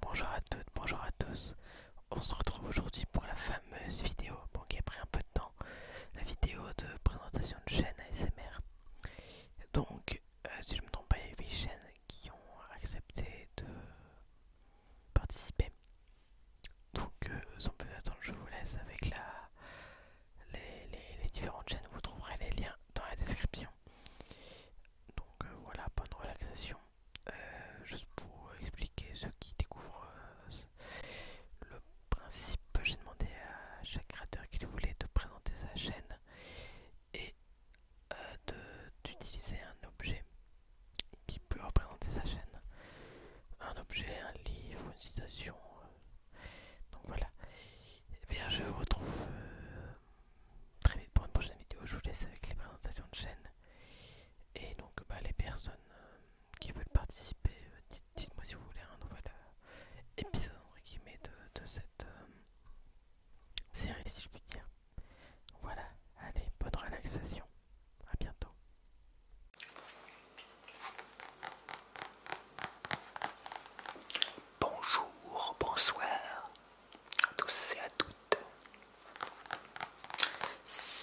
Bonjour à toutes, bonjour à tous. On se retrouve aujourd'hui pour la fameuse vidéo, bon qui a pris un peu de temps, la vidéo de présentation de chaîne ASMR. Donc, euh, si je me trompe pas, il y a 8 chaînes qui ont accepté de participer. Donc, euh, sans plus attendre, je vous laisse avec les différentes chaînes. Vous trouverez les liens dans la description. Donc euh, voilà, bonne relaxation. Euh, juste pour expliquer ceux qui découvrent euh, le principe, j'ai demandé à chaque créateur qu'il voulait de présenter sa chaîne et d'utiliser un objet qui peut représenter sa chaîne. Un objet, un livre, une citation. donc voilà. Et eh bien je vous retrouve très vite pour une prochaine vidéo. Je vous laisse avec les présentations de chaîne. Et donc, bah, les personnes euh, qui veulent participer, euh, dites, moi si vous voulez un nouvel euh, épisode entre de, cette série, si je puis dire. Voilà, allez, bonne relaxation. À bientôt bonjour, bonsoir à tous et à toutes.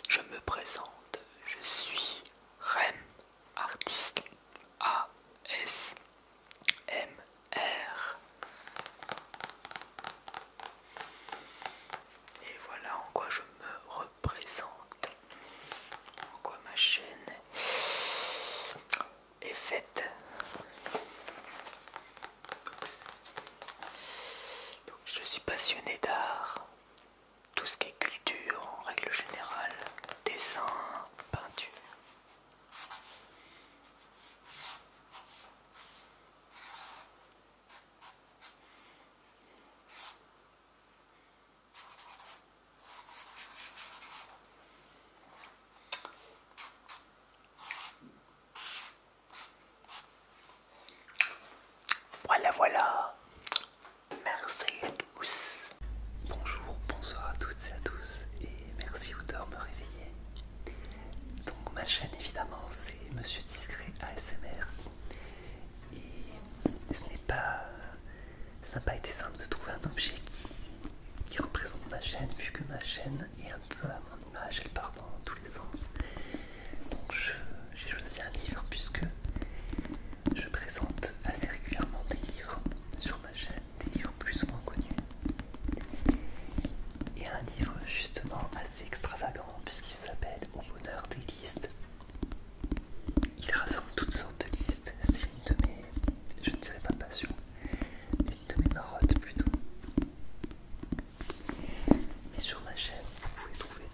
Je me présente, je suis Rem, artiste A-S-M-R. Et voilà en quoi je me représente, en quoi ma chaîne je suis passionné d'art, tout ce qui est culture en règle générale, dessin, peinture. Voilà, voilà. Merci à tous. Bonjour, bonsoir à toutes et à tous. Et merci Outer me réveiller. Donc ma chaîne évidemment c'est Monsieur Discret ASMR. Et ce n'est pas ça n'a pas été simple de trouver un objet qui, représente ma chaîne, vu que ma chaîne est un peu à mon image, elle part dans tous les sens. Donc j'ai choisi un livre puisque je présente assez régulièrement des livres sur ma chaîne, des livres plus ou moins connus. Et un livre justement assez extravagant puisqu'il s'appelle Au bonheur des listes il rassemble toutes sortes de listes, c'est une de mes, je ne dirais pas passion, une de mes marottes plutôt. Mais sur ma chaîne, vous pouvez trouver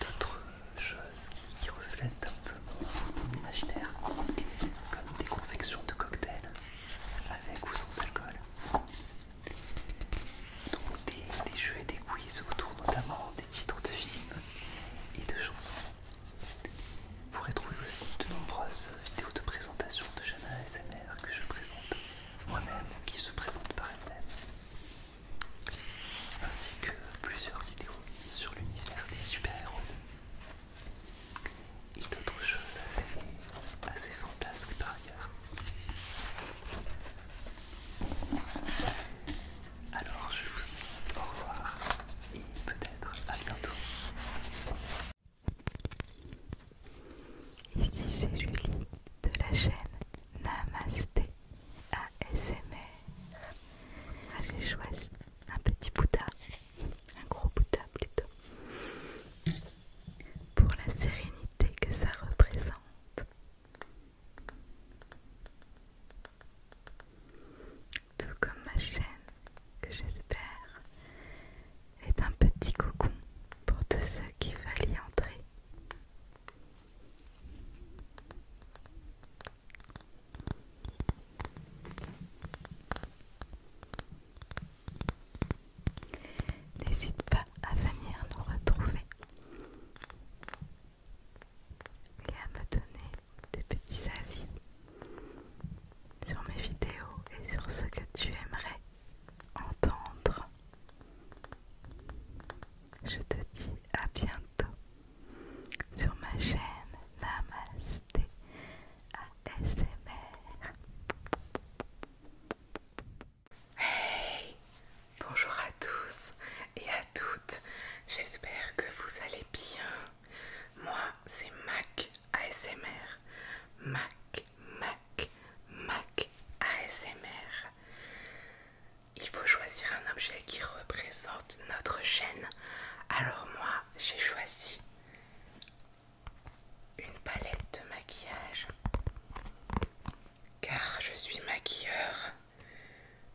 d'autres choses qui, reflètent un peu mon imaginaire, comme des confections de cocktails avec ou sans alcool. Donc des jeux et des quiz autour notamment des titres de films et de chansons vous retrouvez aussi de nombreuses vidéos de présentation de chaînes ASMR que je présente moi-même, qui se présente par elle-même, ainsi que plusieurs vidéos sur l'univers des super-héros et d'autres choses assez, assez fantasques par ailleurs. Alors je vous dis au revoir et peut-être à bientôt. Ici c'est Julie de la chaîne Namasté ASMR. Ah, j'ai choisi un petit Bouddha, un gros Bouddha plutôt, pour la sérénité que ça représente. Tout comme ma chaîne, que j'espère est un petit cocon pour tous ceux qui veulent y entrer. N'hésite pas à venir nous retrouver et à me donner des petits avis sur mes vidéos et sur ce que tu aimerais entendre. Je te dis à bientôt sur ma chaîne Namasté ASMR. Hey Bonjour à tous et à toutes, j'espère que vous allez bien. Moi c'est Mac ASMR, Mac, Mac, Mac ASMR. Il faut choisir un objet qui représente notre chaîne. Alors moi j'ai choisi une palette de maquillage car je suis maquilleur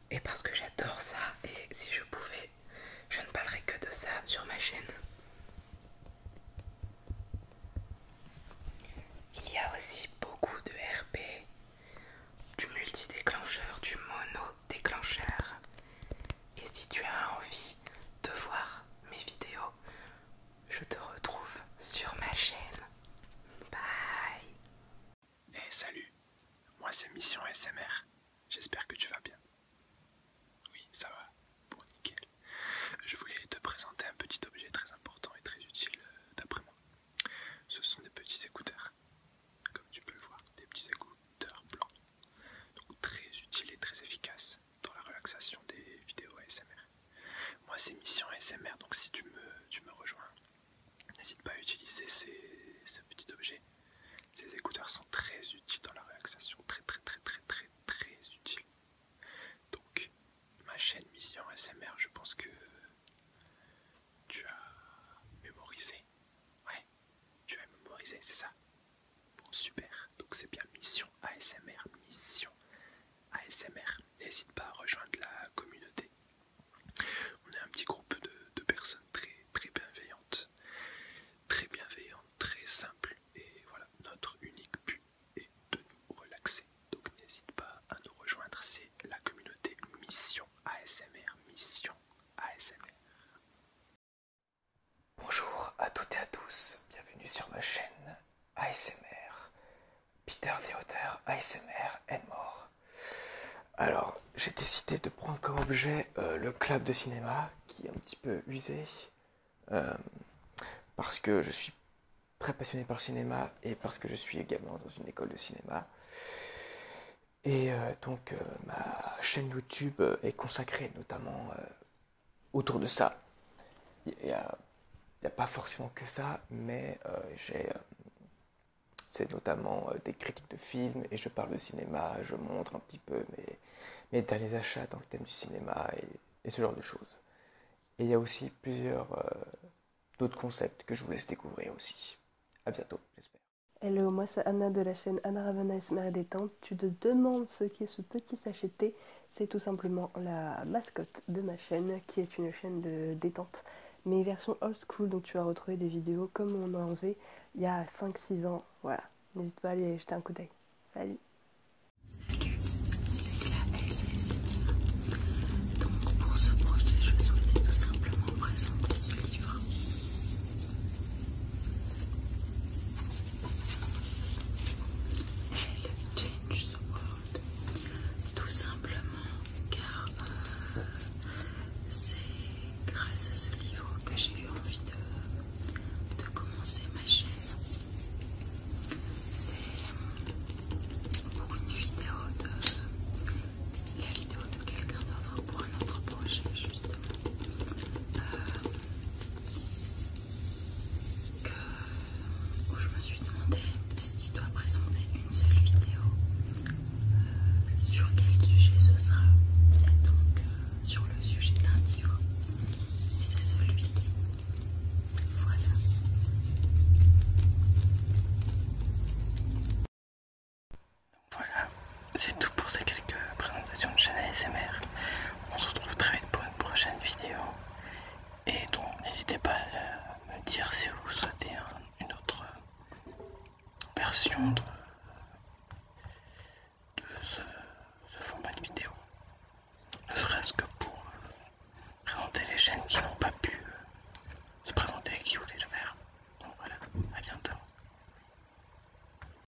et parce que j'adore ça et si je pouvais je ne parlerais que de ça sur ma chaîne. Il y a aussi beaucoup de RP, du multi-déclencheur, du mono-déclencheur. Et si tu as envie de voir mes vidéos, je te retrouve sur ma chaîne. Bye. Hey, eh, salut. Moi, c'est Mission SMR. J'espère que tu vas bien. Oui, ça va. pour nickel. Je voulais te présenter un petit objet très important et très utile euh, d'après moi. Ce sont des petits écouteurs. Comme tu peux le voir, des petits écouteurs blancs. Donc très utiles et très efficaces dans la relaxation des vidéos SMR. Moi, c'est Mission ASMR, donc si tu me, rejoins, n'hésite pas à utiliser ce petit objet. Ces écouteurs sont très utiles dans la relaxation, très très très très très très utiles. Donc, ma chaîne Mission ASMR, je pense que tu as mémorisé. Ouais, tu as mémorisé, c'est ça Bon, super. Donc, c'est bien Mission ASMR, Mission ASMR. N'hésite pas à rejoindre la communauté. On est un petit groupe de, personnes très, très bienveillantes, très bienveillantes, très simples. Et voilà, notre unique but est de nous relaxer. Donc n'hésite pas à nous rejoindre. C'est la communauté Mission ASMR. Mission ASMR. Bonjour à toutes et à tous, bienvenue sur ma chaîne ASMR. Peter Deotter, ASMR est mort. Alors, j'ai décidé de prendre comme objet euh, le club de cinéma, qui est un petit peu usé, euh, parce que je suis très passionné par le cinéma et parce que je suis également dans une école de cinéma. Et euh, donc, ma chaîne YouTube est consacrée notamment autour de ça. Il n'y a, pas forcément que ça, mais euh, j'ai. Euh, c'est notamment euh, des critiques de films et je parle de cinéma, je montre un petit peu mes, mes derniers achats dans le thème du cinéma et, ce genre de choses. Et il y a aussi plusieurs d'autres concepts que je vous laisse découvrir aussi. À bientôt, j'espère. Hello, moi c'est Anna de la chaîne Anna Ravena Ismail Détente. Si tu te demandes ce qu'est ce petit sacheté c'est tout simplement la mascotte de ma chaîne qui est une chaîne de détente mais version old school donc tu vas retrouver des vidéos comme on en faisait il y a 5-6 ans voilà n'hésite pas à aller jeter un coup d'œil salut donc pour je simplement ce livre elle Change the World. Tout simplement car euh, c'est grâce à ce livre que j'ai eu envie de, de commencer ma chaîne. C'est pour une vidéo de la vidéo de quelqu'un d'autre pour un autre projet justement. Euh, où je me suis demandé si tu dois présenter une seule vidéo euh, sur quel sujet ce sera donc euh, sur le sujet d'un livre et c'est celui-ci voilà voilà c'est tout pour ces quelques présentations de chaîne ASMR on se retrouve très vite pour une prochaine vidéo. Et donc n'hésitez pas à me dire si vous souhaitez une autre version de, ce, format de vidéo. Ne serait-ce que pour euh, présenter les chaînes qui n'ont pas pu euh, se présenter et qui voulaient le faire. Donc voilà, à bientôt.